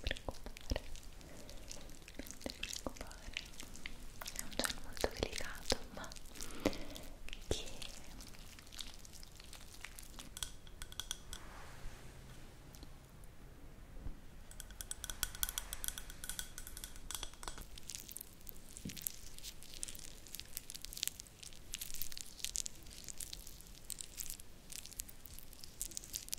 preoccupare, non ti preoccupare, è un gel molto delicato ma che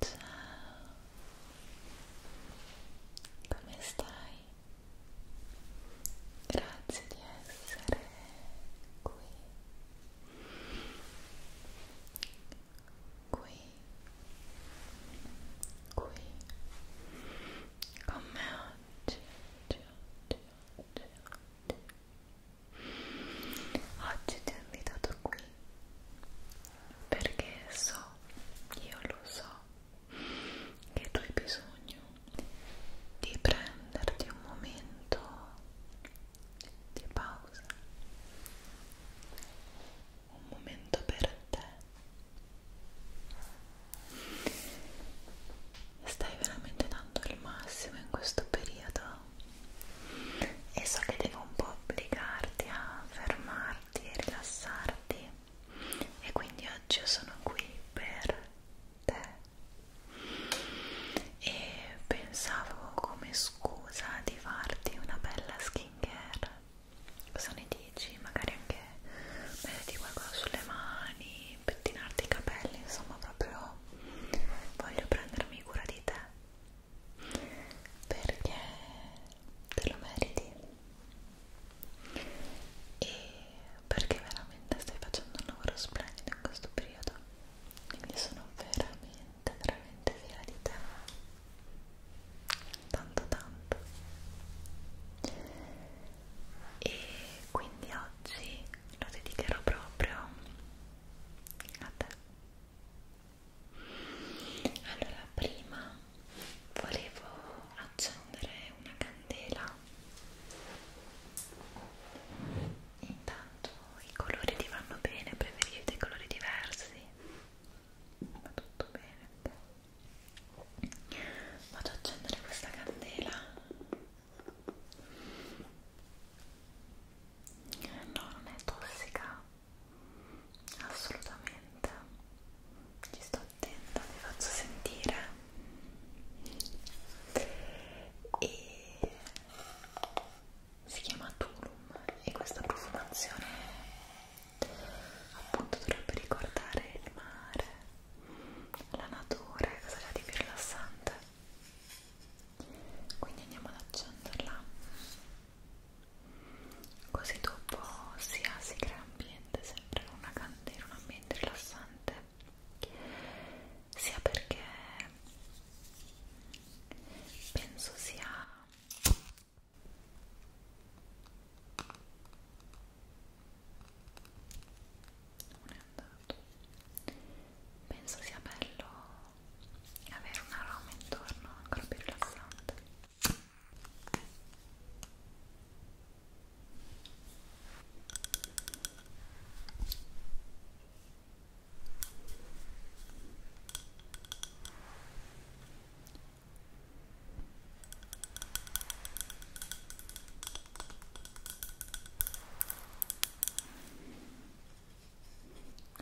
Ciao, come stai? Grazie di essere qui, qui, qui, con me oggi, oggi, oggi, oggi, oggi. Oggi ti ho invitato qui perché so, io lo so, che tu hai bisogno di prenderti un momento di pausa, un momento per te. Stai veramente dando il massimo in questo periodo e so che devo un po' obbligarti a fermarti e rilassarti e quindi oggi io sono qui per te e pensavo come scusa di farti una bella skincare cosa ne dici? magari anche metterti qualcosa sulle mani pettinarti i capelli insomma proprio voglio prendermi cura di te perché te lo meriti e perché veramente stai facendo un lavoro splendido in questo periodo quindi sono veramente veramente fiera di te tanto tanto e quindi oggi lo dedicherò proprio a te allora prima volevo accendere una candela intanto i colori ti vanno bene preferite colori diversi va tutto bene vado ad accendere questa candela no non è tossica assolutamente ci sto attenta vi faccio sentire e si chiama Tulum e questa profumazione appunto dovrebbe ricordare il mare la natura cosa c'è di più rilassante quindi andiamo ad accenderla così dopo sia si crea ambiente sempre una candela un ambiente rilassante sia perché penso sia non è andato penso sia bello avere un aroma intorno ancora più rilassante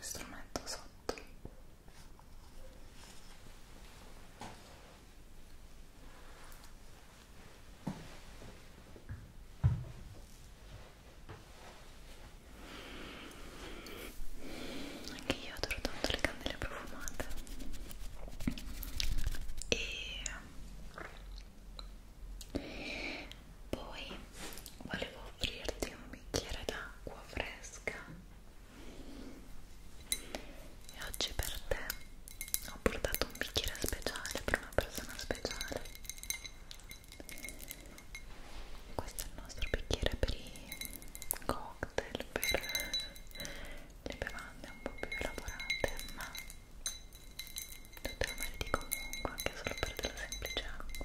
strumento sotto anche io adoro tanto le candele profumate e poi volevo offrirti un bicchiere d'acqua fresca e oggi per te ho portato un bicchiere speciale per una persona speciale. Questo è il nostro bicchiere per i cocktail, per le bevande un po' più elaborate, ma tutte le meriti comunque anche solo per della semplice acqua.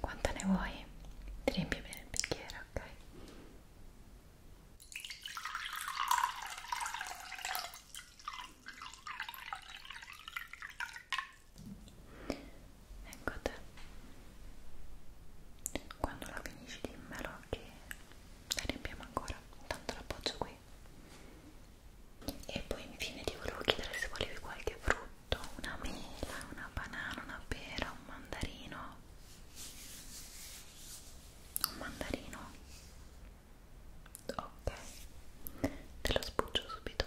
Quanto ne vuoi? Ti riempi bene il bicchiere, ok? Ecco te. Quando la finisci dimmelo che la riempiamo ancora tanto l'appoggio qui e poi infine ti volevo chiedere se volevi qualche frutto una mela, una banana, una pera, un mandarino un mandarino ok te lo spuggio subito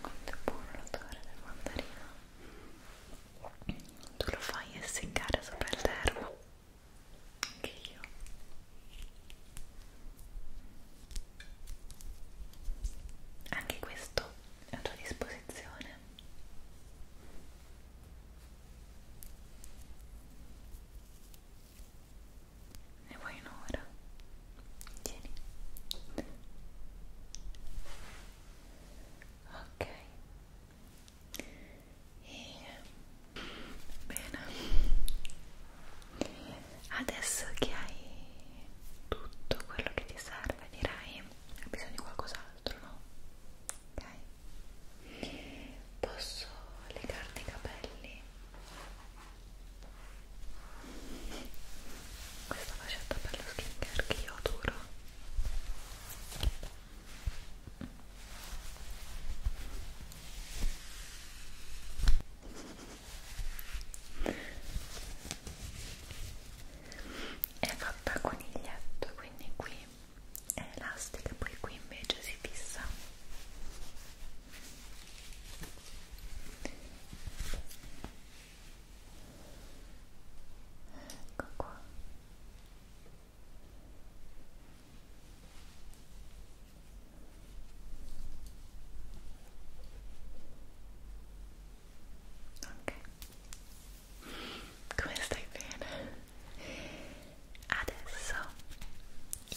quanto è buono l'odore del mandarino tu lo fai essiccare sopra il termo anche io anche questo è a tua disposizione ne vuoi un'ora? Tieni. Ok. E... Bene. Adesso che hai tutto quello che ti serve, direi, hai bisogno di qualcos'altro, no? Ok. Posso legarti i capelli? questa facetta per la skincare che io adoro è fatta a coniglietto quindi qui è elastica poi qui invece si fissa ecco qua ok come stai bene adesso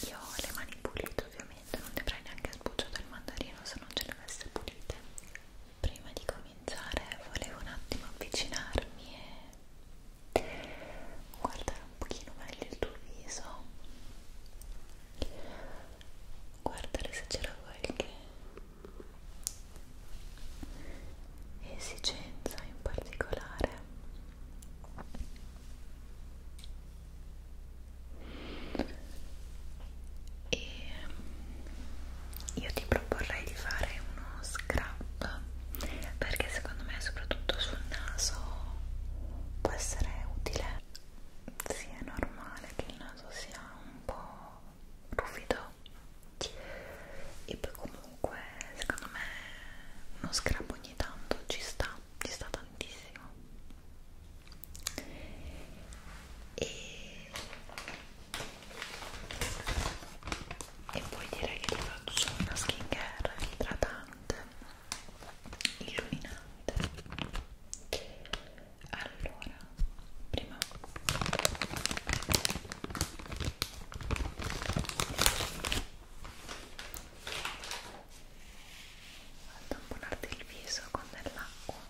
io ho le mani pulite ovviamente ovviamente non dovrai neanche sbucciato il mandarino se non ce le avesse pulite prima di cominciare volevo un attimo avvicinarmi e guardare un pochino meglio il tuo viso guardare se c'era qualche esigenza in particolare e io ti proporrei di fare uno scrub perché secondo me soprattutto sul naso può essere utile sì è normale che il naso sia un po' ruffido e poi comunque secondo me uno scrub ogni tanto ci sta ci sta tantissimo e, e poi direi che ti faccio una skincare idratante illuminante allora prima Vado a tamponarti il viso con dell'acqua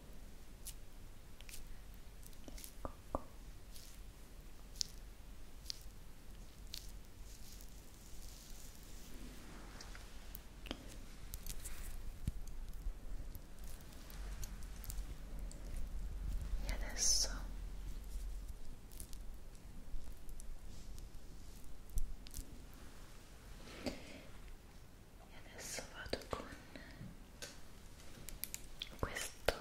Ecco qua. E adesso e adesso vado con questo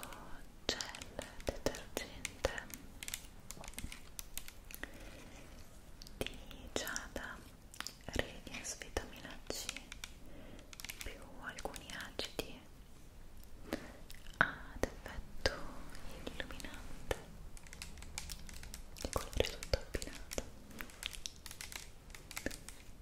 gel detergente di Giada Radiance Vitamina C più alcuni acidi ad effetto illuminante di colore tutto abbinato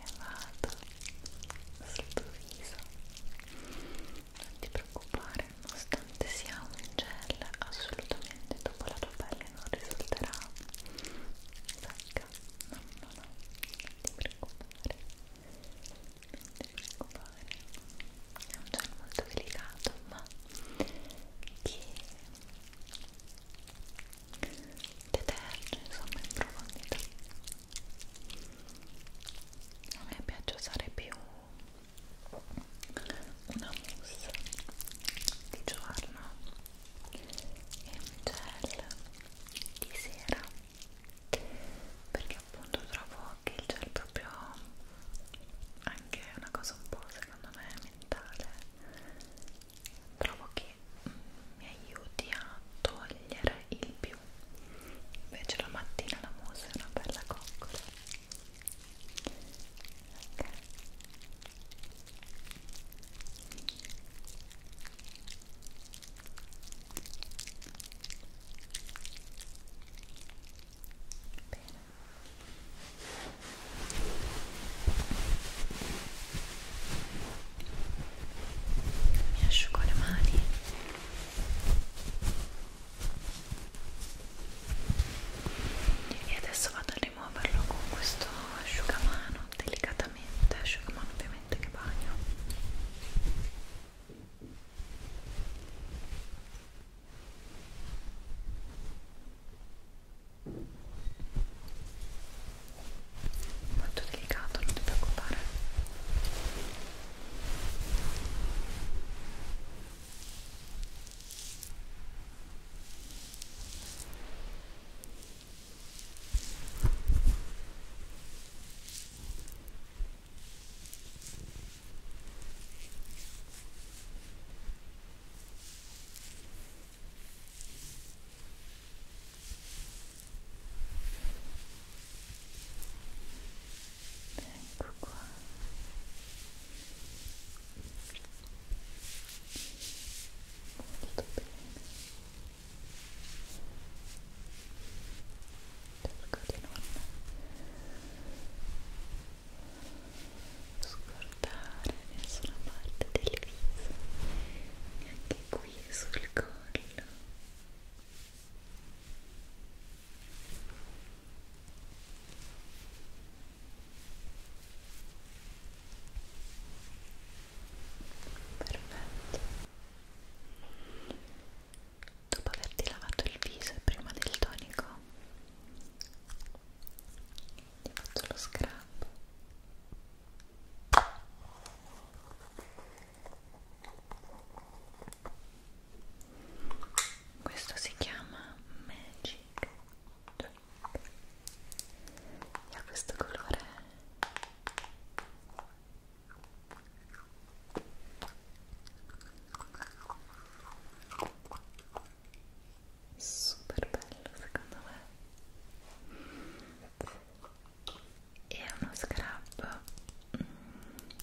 e vado sul tuo viso non ti preoccupare nonostante sia un gel assolutamente dopo la tua pelle non risulterà secca no no no non ti preoccupare non ti preoccupare è un gel molto delicato ma che vederci insomma in profondità a me piace usare più una mousse di giorno e un gel di sera perché appunto trovo che il gel proprio anche una cosa un po' secondo me mentale trovo che mi aiuti a togliere il più invece la mattina la mousse è una bella coccola ok Bene mi asciugo le mani e adesso vado a rimuoverlo con questo asciugamano delicatamente asciugamano ovviamente che bagno e molto delicato, non ti preoccupare Molto ecco qua molto bene cerco di non scordare nessuna parte del viso neanche qui qui sul collo perfetto dopo averti lavato il viso e prima del tonico ti faccio lo scrub questo si chiama Magic Drink e ha questo colore super bello secondo me è uno scrub mm,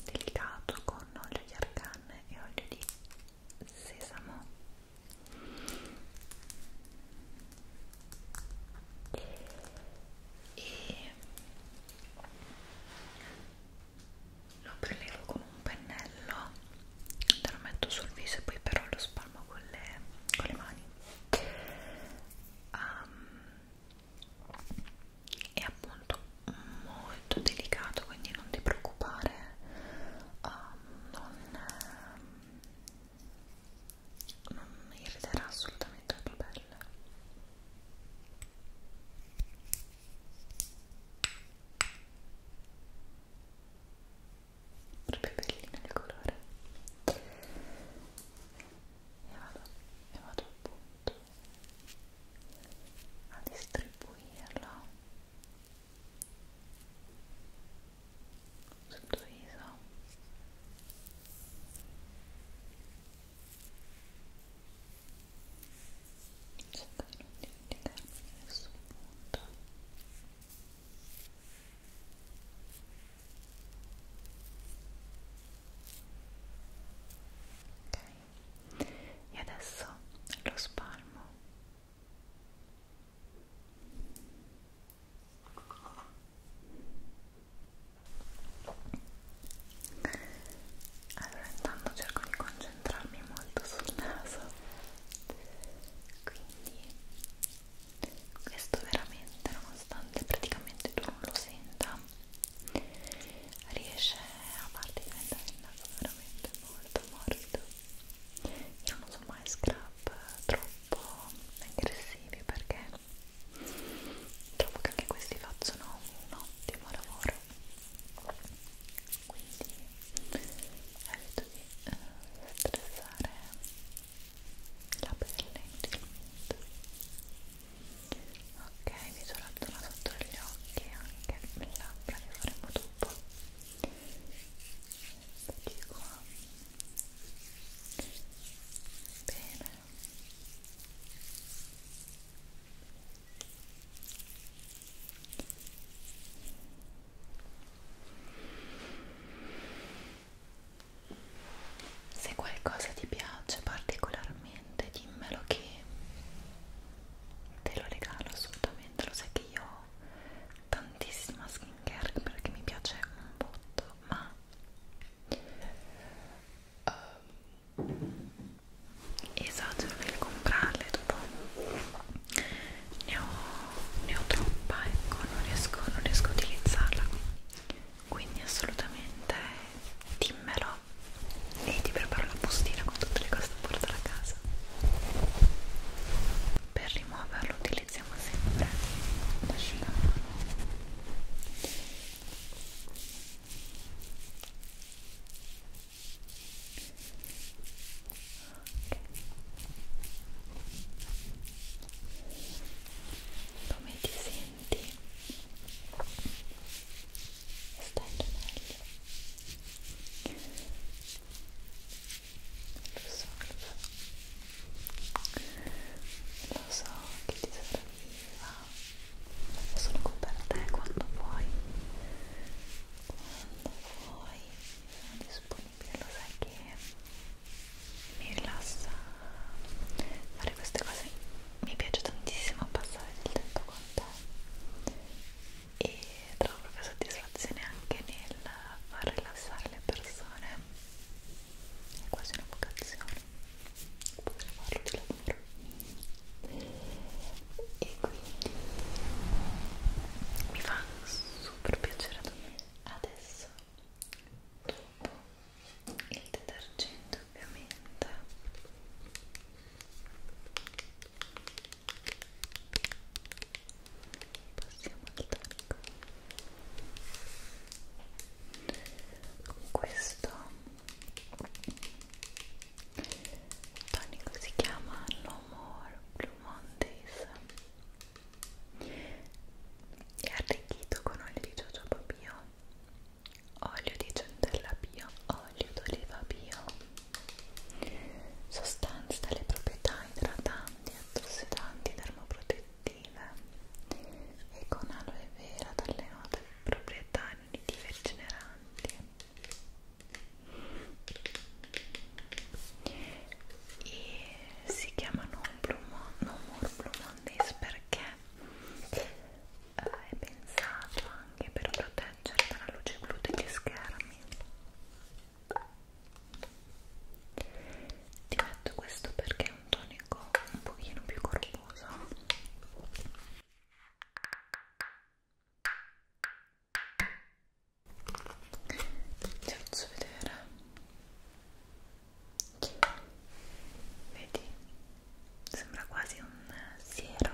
delicato con olio di argan e olio di sesamo e lo prelevo con un pennello te lo metto sul viso e poi però lo spalmo con le, con le mani um, è appunto molto delicato quindi non ti preoccupare um, non, um, non irriterà assolutamente la tua pelle proprio bellino il colore e vado, e vado appunto a distribuirlo sul tuo viso cerco di non dimenticarmi nessun punto Ok, e adesso lo spalmo. Allora intanto cerco di concentrarmi molto sul naso quindi questo veramente nonostante praticamente tu non lo senta riesce a farti diventare il naso veramente molto morbido io non uso mai scrub troppo aggressivi perché trovo che anche questi facciano un ottimo lavoro quindi evito di eh, stressare la pelle indelita ok visualizzala sotto gli occhi anche le labbra che faremo dopo eccoci qua bene ok se qualcosa ti piace particolarmente dimmelo che te lo regalo assolutamente lo sai che io ho tantissima skincare perché mi piace un botto ma um, esagero nel comprarle dopo ne ho, ne ho troppa ecco non riesco, non riesco a utilizzarla quindi assolutamente dimmelo e ti preparo la bustina con tutte le cose da portare a casa per rimuoverlo utilizziamo sempre l'asciugamano ok come ti senti? Stai meglio? Lo so, lo so che ti sopravviva, sono qui per te eh, quando vuoi, quando vuoi, sono disponibile perché lo sai che mi rilassa fare queste cose mi piace tantissimo passare del tempo con te e trovo proprio soddisfazione anche nel far rilassare le persone è quasi una vocazione poter farlo di lavoro e quindi mi fa super piacere a me adesso dopo il detergente ovviamente passiamo al tacco questo tonico si chiama No More Blue Mondays è arricchito con olio di jojoba bio, olio di centella bio, olio d'oliva bio, sostanze dalle proprietà idratanti, antiossidanti, termoprotettive e con aloe vera dalle note proprietà antidegeneranti. E si chiamano non, pluma, non more pluma Mondays perché eh, è pensato anche per proteggere dalla luce blu degli schermi ti metto questo perché è un tonico un pochino più corposo ti faccio vedere vedi sembra quasi un siero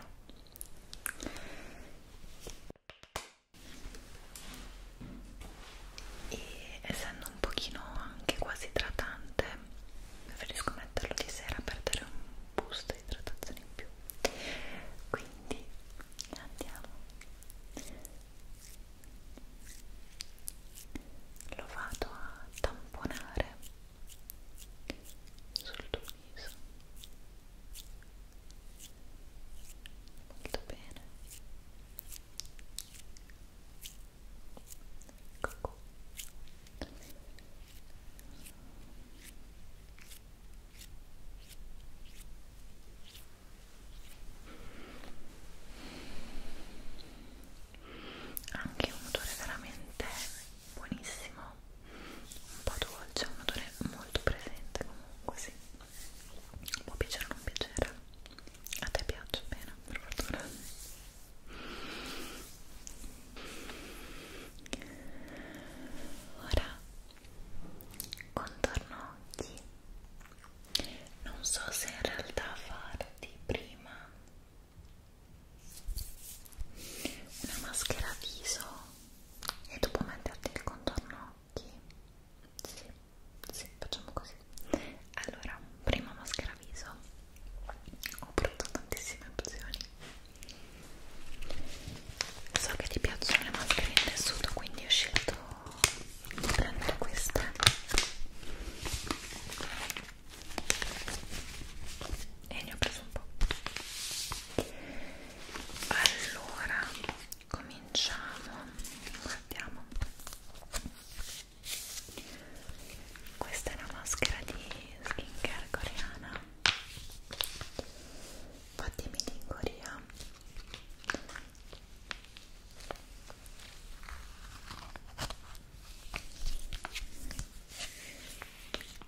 e essendo un pochino anche quasi idratante preferisco metterlo di sera per dare un boost di idratazione in più quindi andiamo lo vado a tamponare sul tuo viso molto bene ecco Ecco anche un odore veramente buonissimo un po' dolce un odore molto presente comunque sì può piacere o non piacere a te piace bene per fortuna ora contorno occhi non so se in realtà farti prima una maschera viso e dopo metterti il contorno occhi sì, sì, facciamo così allora, prima maschera viso ho prodotto tantissime opzioni so che ti piacciono le maschere in tessuto quindi ho scelto prendo questa e ne ho preso un po' allora cominciamo guardiamo questa è una maschera di skincare coreana fattimi di Corea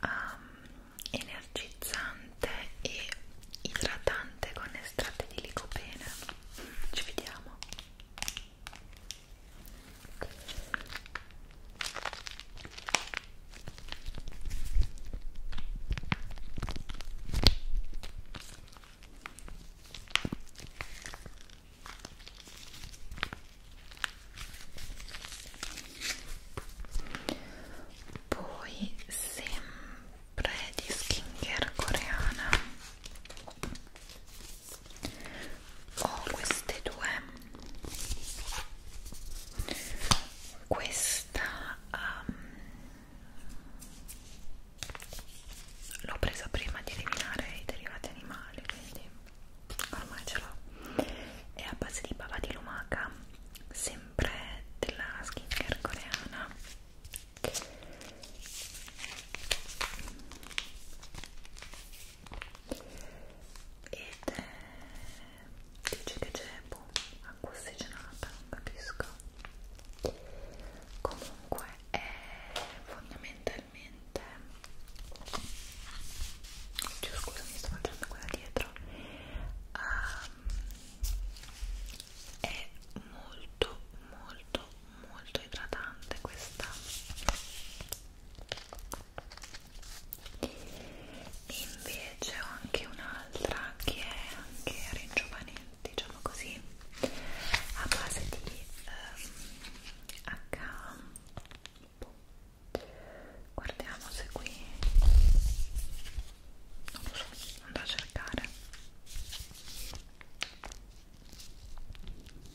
um, energizzante e idratante con estratti di licopene ci vediamo poi sempre di skincare coreana ho queste due questa um, l'ho presa prima di eliminare i derivati animali quindi ormai ce l'ho è a base di bava di lumaca sempre della skincare coreana ed è... dice che c'è boh, acqua ossigenata, non capisco comunque è fondamentalmente probabilmente Oddio, scusa mi sto facendo quella dietro um, è molto molto molto idratante questa invece ho anche un'altra che è anche ringiovanente diciamo così a base di um, H guardiamo se qui non lo so, andrò a cercare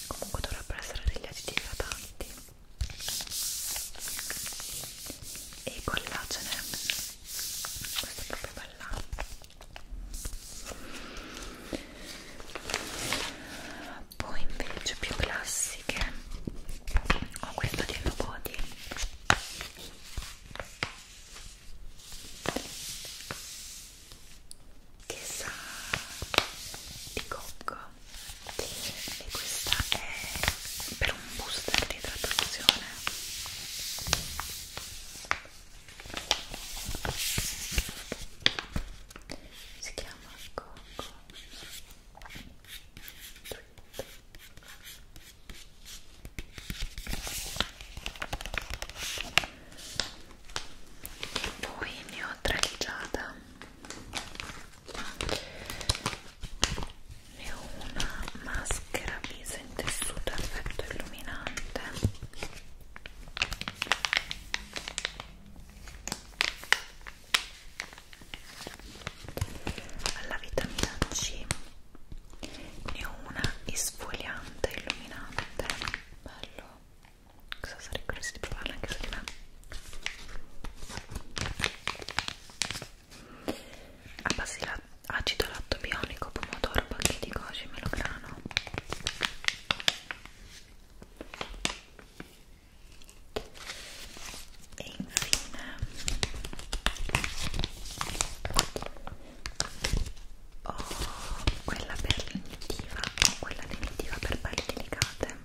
comunque dovrebbero essere degli acidi idratanti e collagene questo è proprio bella poi invece più classiche ho questo di Hello Body che sa di cocco e questa è per un booster di traduzione si chiama Coco poi ne ho traleggiata ne ho una maschera viso in tessuto a effetto illuminante alla vitamina C ne ho una isfoliante illuminante bello cosa sarei curiosa di provare anche su di me a base di acido latto bionico pomodoro pacchetti goji melograno e infine ho quella per l'inettiva o quella definitiva per pelli delicate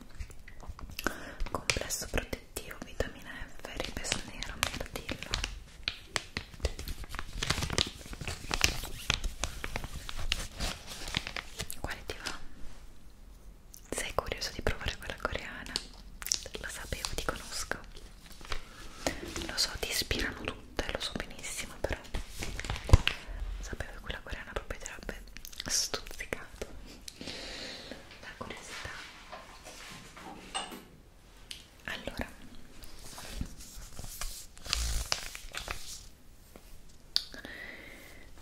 complesso protettivo vitamina F ripeso nero mirtillo quale ti va? sei curioso di provare quella coreana? lo sapevo, ti conosco lo so, ti ispirano tutte, lo so benissimo però sapevo che quella coreana proprio ti avrebbe stuzzicato la curiosità allora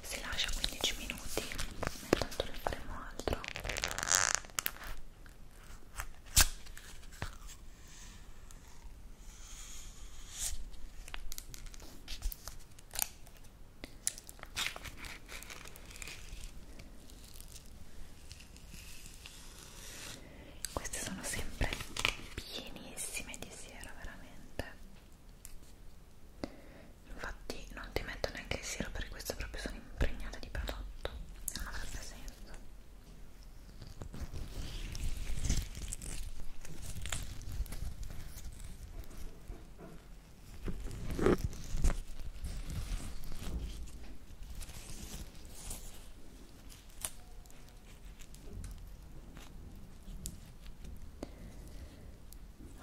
si lascia 15 minuti intanto ne faremo altro queste sono sempre pienissime di sera veramente veramente infatti non ti metto neanche il siero perché queste proprio sono impregnate di prodotto e non avrebbe senso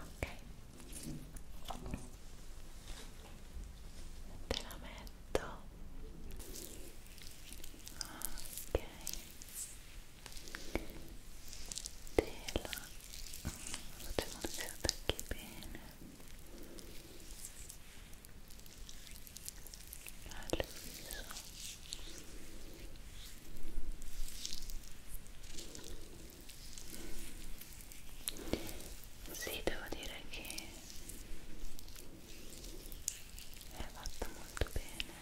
ok te la metto ok te la facciamo che attacchi bene al viso sì, devo dire che è fatta molto bene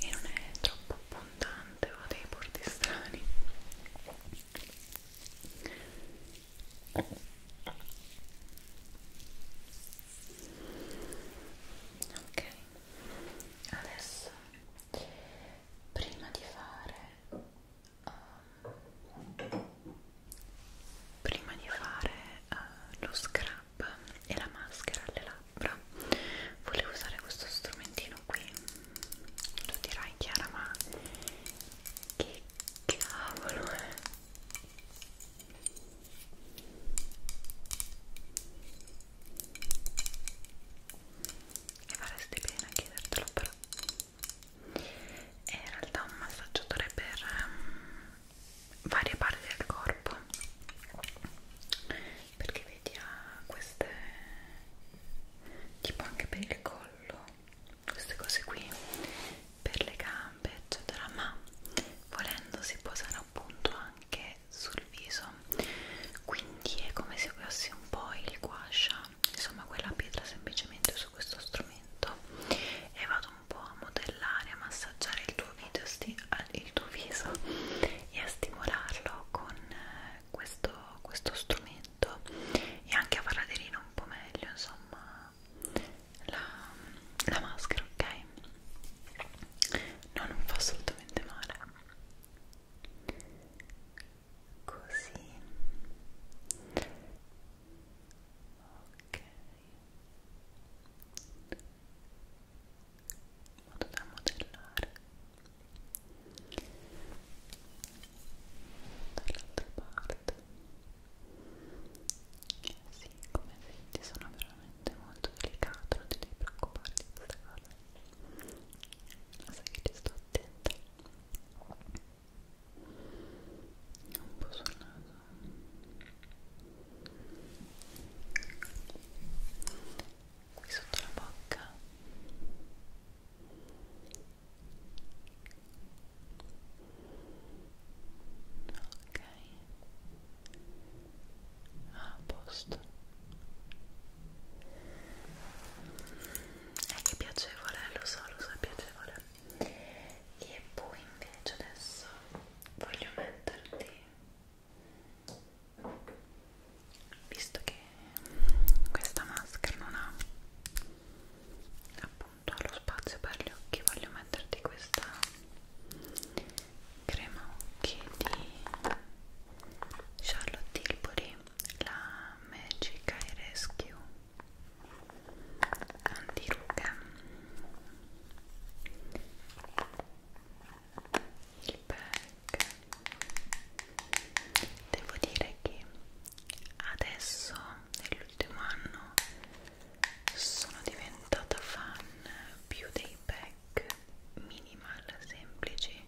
e non è troppo abbondante o dei bordi strani ok adesso prima di fare um, prima di fare uh, lo scrub e la maschera alle labbra volevo usare questo strumentino qui lo dirai Chiara ma che cavolo è e faresti bene a chiedertelo però è in realtà un massaggiatore per um, varie parti del corpo perché vedi ha queste tipo anche per il collo queste cose qui per le gambe eccetera ma volendo si può usare appunto anche sul viso quindi è come se usassi un po' il guascia insomma quella pietra semplicemente su questo strumento e vado un po' a modellare a massaggiare il tuo, video, il tuo viso e a stimolarlo con eh, questo, questo strumento e anche a far aderire un po' meglio insomma la, la maschera, ok? No, non fa assolutamente male. Così. Ok. In modo da modellare. Dall'altra parte. Sì, come vedi sono veramente molto delicato, non ti devi preoccupare di questa cosa. Lo sai che ti sto attenta. Un po' sul naso. Qui sotto la bocca ok ah, a posto è che piacevole lo so lo so è piacevole e poi invece adesso voglio metterti visto che questa maschera non ha appunto lo spazio per gli occhi voglio metterti questa crema occhi di Charlotte Tilbury la Magic Eye Rescue antirughe il pack devo dire che adesso nell'ultimo anno sono diventata fan più dei pack minimal semplici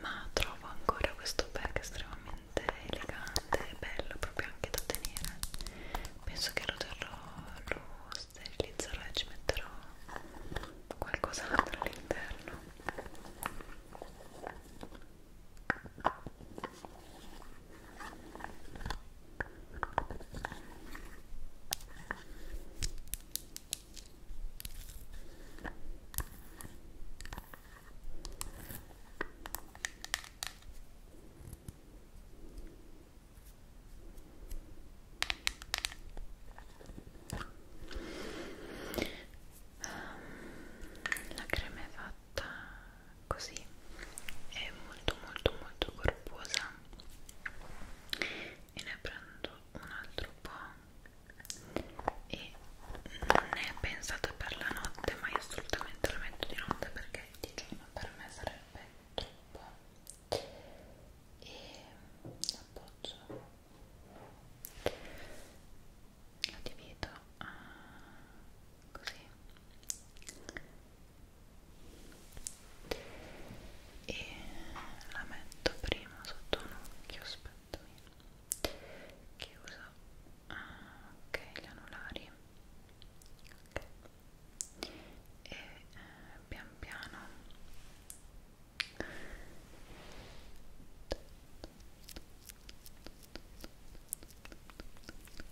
ma trovo ancora questo pack estremamente elegante e bello proprio anche da tenere penso che lo terrò lo sterilizzerò e ci metterò qualcos'altro all'interno Ehm, la crema è fatta così è molto molto molto corposa e ne prendo un altro po' e non è pensato per la notte ma io assolutamente lo metto di notte perché di giorno per me sarebbe troppo e appoggio lo divido a così e la metto prima sotto un occhio aspettami che usa ah, ok gli anulari ok e eh, pian piano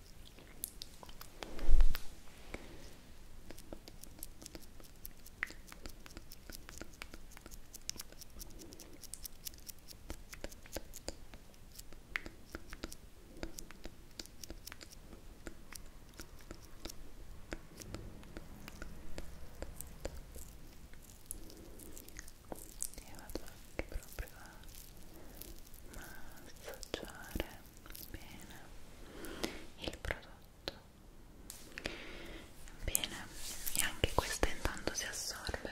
e vado anche proprio a massaggiare bene il prodotto bene e anche questa intanto si assorbe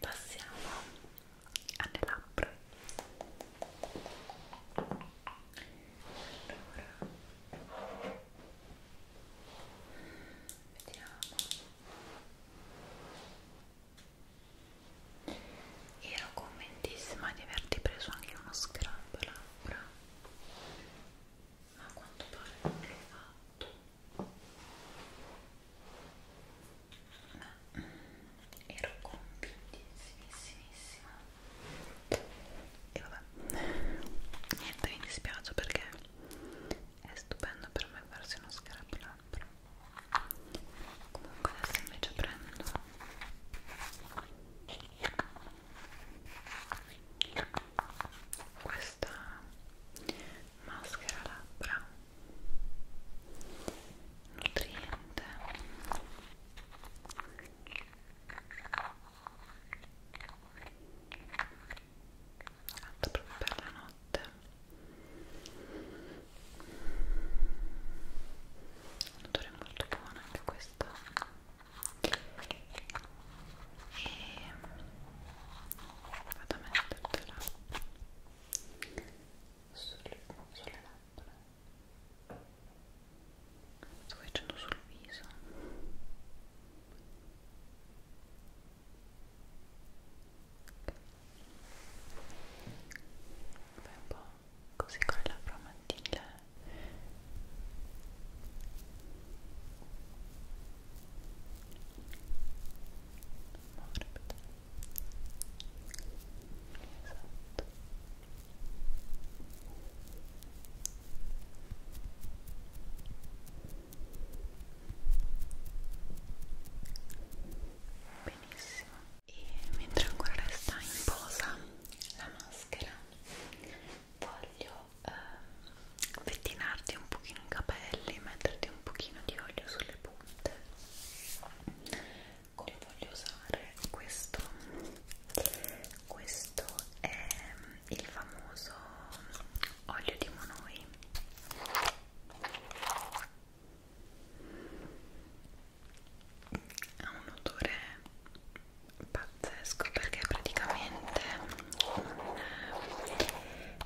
passiamo alle labbra allora vediamo ero conventissima di averti preso anche uno scrub labbra ma a quanto pare non l'ho fatto ma mm, ero convintissimissima e vabbè niente mi dispiace perché è stupendo per me farsi uno scrub labbra comunque adesso invece prendo questa maschera labbra nutriente fatta proprio per la notte un odore molto buono anche questo e vado a mettertela sulle, sulle labbra sto facendo sul viso Fai un po' così con le labbra mattine morbide esatto benissimo e mentre ancora resta in posa la maschera voglio ehm, pettinarti un pochino i capelli metterti un pochino di olio sulle punte come voglio usare questo questo è ehm, il famoso olio di monoi ha un odore pazzesco perché praticamente un,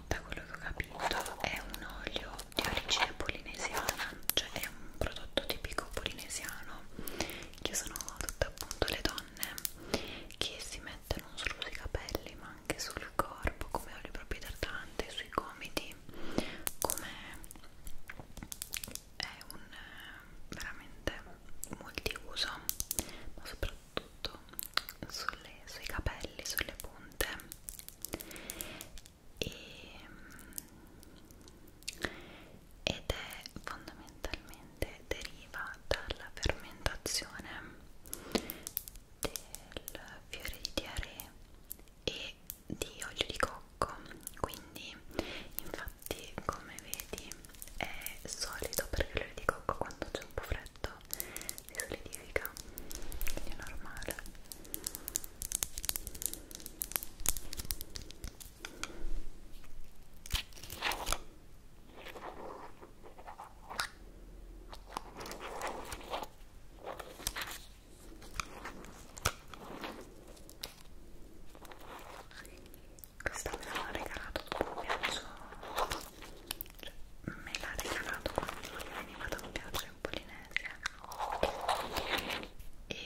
da quello che ho capito è un olio di origine polinesiana cioè è un prodotto tipico polinesiano che sono tutte appunto le donne che si mettono non solo sui capelli ma anche sul corpo come olio proprio idratante sui gomiti come è un eh, veramente multiuso ma soprattutto sulle, sui capelli, sulle punte e, mm, ed è fondamentalmente deriva dalla fermentazione del fiore di diarrea e di olio di cocco quindi infatti come vedi è solido perché l'olio di cocco quando c'è un po' freddo si solidifica quindi è normale questa me l'ha regalato dopo un viaggio cioè, me l'ha regalato quando veniva da un viaggio in Polinesia e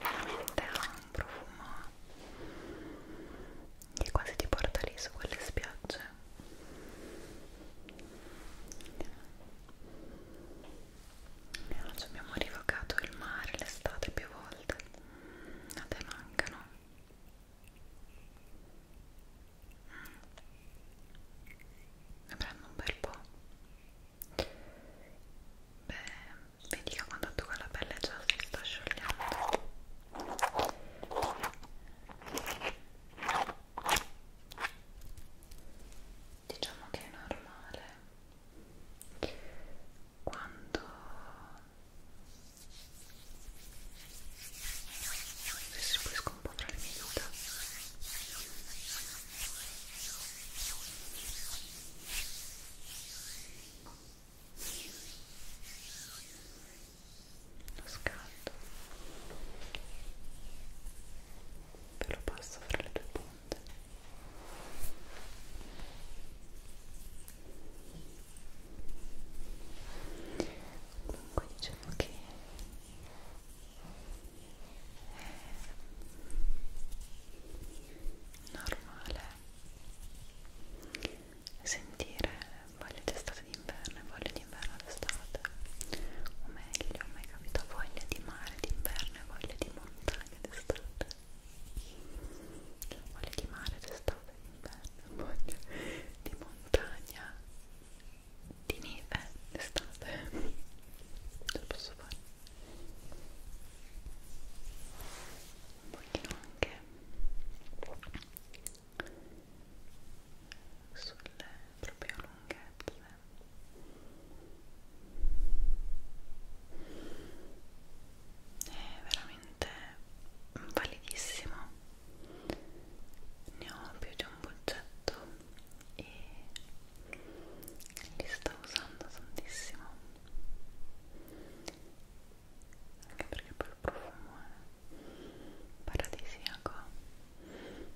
veramente ha un profumo che quasi ti porta lì su quelle spiagge Oggi abbiamo rivocato il mare, l'estate più volte. A te mancano. Mm. Ne prendo un bel po'. Beh, vedi che quando tocca la pelle già si sta sciogliendo. Diciamo che è normale quando restituisco un po' tra le mie dita lo scaldo ve lo passo fra le due punte seconda comunque diciamo che è eh, normale sentire voglia d'estate d'inverno e voglia d'inverno d'estate o meglio, mi è capita voglia di mare d'inverno ho voglia di montagna d'estate, ho voglia di mare d'estate, d'inverno, ho voglia di montagna, di neve d'estate. Ce la posso fare. Un pochino anche sulle proprie lunghezze è veramente validissimo ne ho più di un boccetto e li sto usando tantissimo anche perché poi il profumo è paradisiaco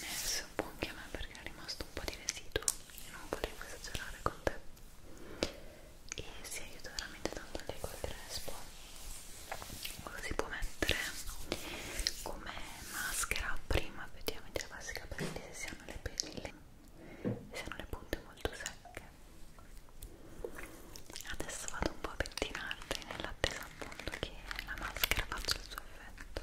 Adesso un po' anche a me perché è rimasto un po' di residuo e non volevo esagerare con te e si aiuta veramente tanto anche col crespo lo si può mettere come maschera prima effettivamente della maschera perché se hanno le, le, se hanno le punte molto secche adesso vado un po' a pettinarle nell'attesa appunto che la maschera faccia il suo effetto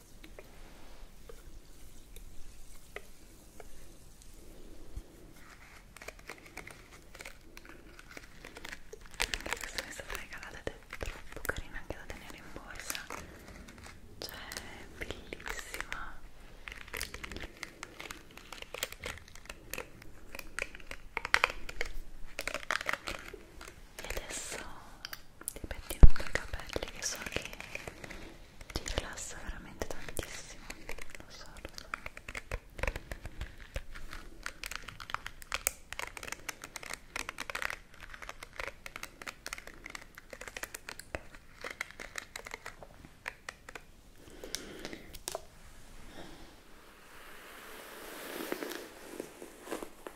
Anche questa mi è stata regalata ed è troppo carina anche da tenere in borsa Cioè, è bellissima e adesso dei pettinati ai capelli che so che ti rilassa veramente tantissimo lo so, lo so. Okay.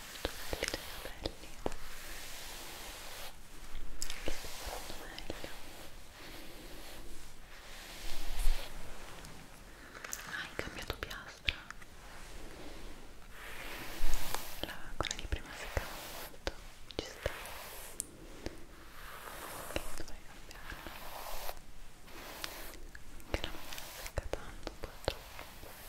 tonelli dei capelli che stanno meglio hai cambiato piastra la quella di prima seccava molto ci sta che dovrei cambiarla che la mia secca tanto purtroppo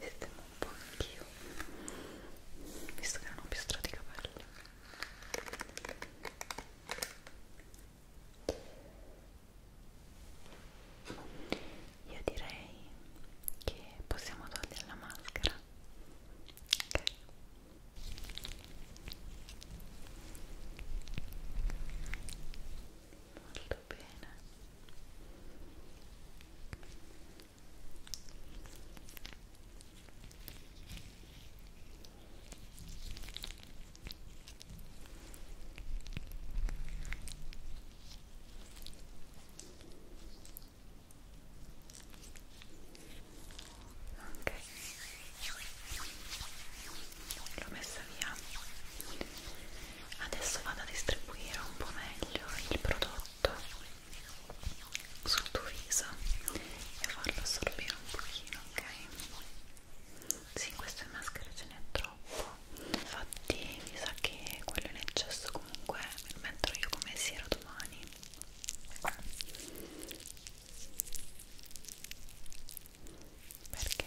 sistemo un po' anch'io visto che non ho più strati capelli io direi che possiamo togliere la maschera ok molto bene Ok, l'ho messa via adesso vado a distribuire un po' meglio il prodotto sul tuo viso e farlo assorbire un pochino ok? Sì, queste maschere ce n'è troppo. Infatti, mi sa che quello in eccesso comunque me lo metterò io come sera domani. Perché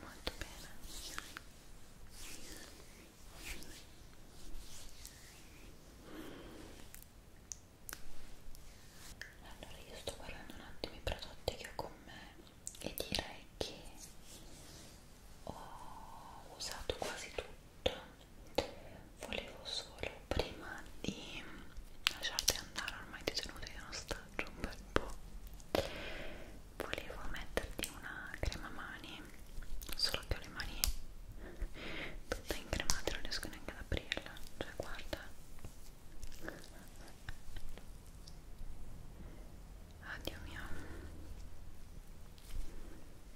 molto bene allora io sto guardando un attimo i prodotti che ho con me e direi che ho usato quasi tutto volevo solo prima di lasciarti andare ormai ti sono venuto in ostaggio un bel po' volevo metterti una crema mani solo che ho le mani tutte incremate non riesco neanche ad aprirla cioè guarda Addio mio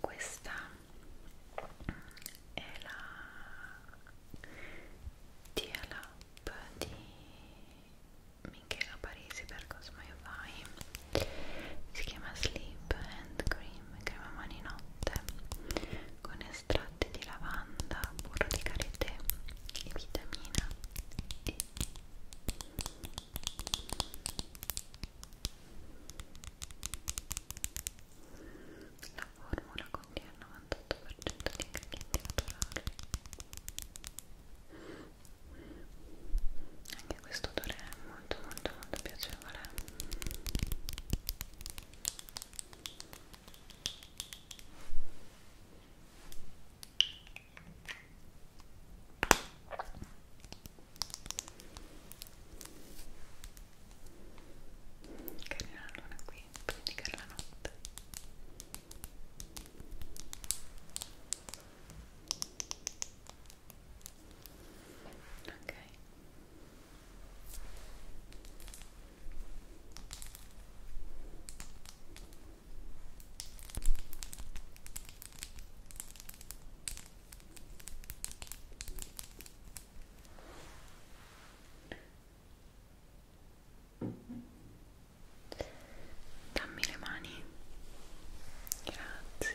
questa è la Tia Lab di Michela Parisi per Cosmai Vai si chiama Sleep and Cream crema mani notte con estratti di lavanda, burro di karité e vitamina E la formula contiene il 98% di ingredienti naturali. Anche questo odore è molto molto molto piacevole. Ora Carina la luna qui, prendicare la notte Ok Dammi le mani. Grazie.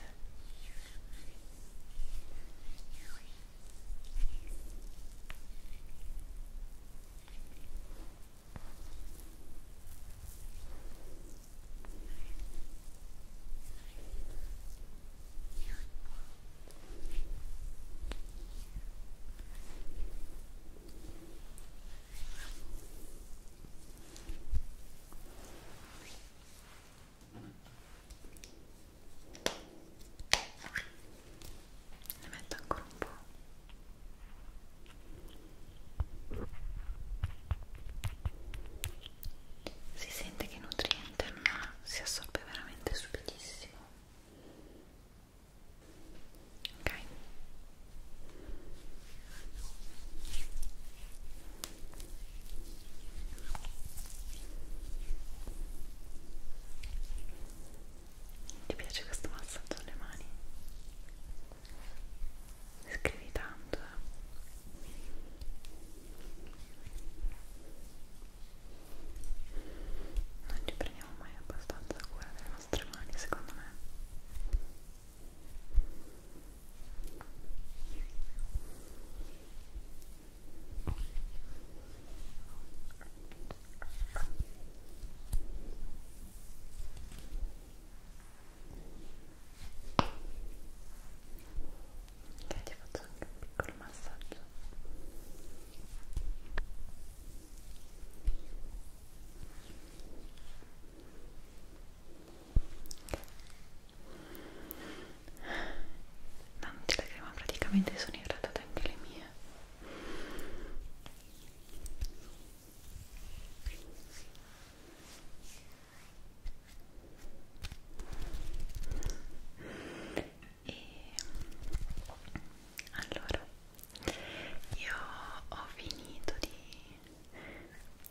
Ne metto ancora un po' si sente che è nutriente ma si assorbe veramente subitissimo ok ti piace questo massaggio alle mani? scrivi tanto eh. non ci prendiamo mai abbastanza cura delle nostre mani secondo me Ecco che ti faccio anche un piccolo massaggio tanti la crema praticamente sono irritate anche le mie e allora io ho finito di,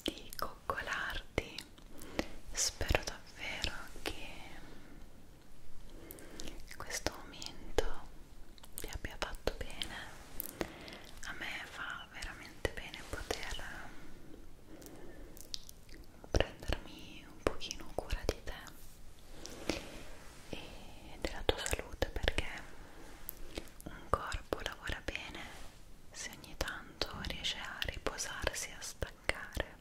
di coccolarti spero davvero che questo momento ti abbia fatto bene a me fa fa veramente bene poter ehm, prendermi un pochino cura di te e della tua salute perché un corpo lavora bene se ogni tanto riesce a riposarsi, a staccare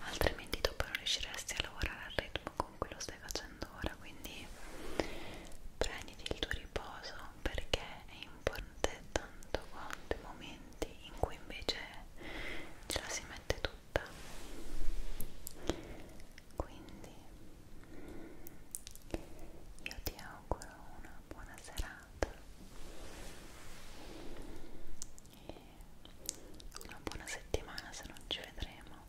altrimenti dopo non riusciresti a lavorare al ritmo con cui lo stai facendo ora quindi prenditi il tuo riposo perché è importante tanto quanto i momenti in cui invece ce la si mette tutta quindi io ti auguro una buona serata e una buona settimana se non ci vedremo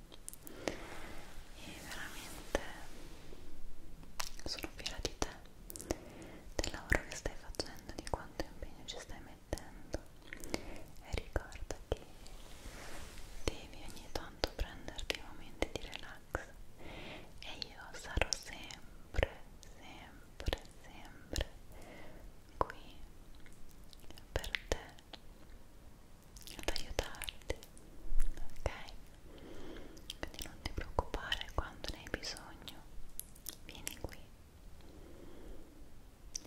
e veramente sono fiera di te te del lavoro che stai facendo di quanto impegno ci stai mettendo e ricorda che devi ogni tanto prenderti momenti di relax e io sarò sempre sempre sempre qui per te ad aiutarti ok quindi non ti preoccupare quando ne hai bisogno vieni qui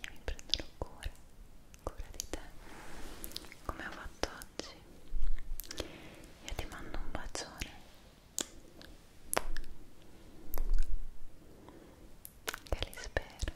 e mi prenderò cura cura di te come ho fatto oggi io ti mando un bacione che li spero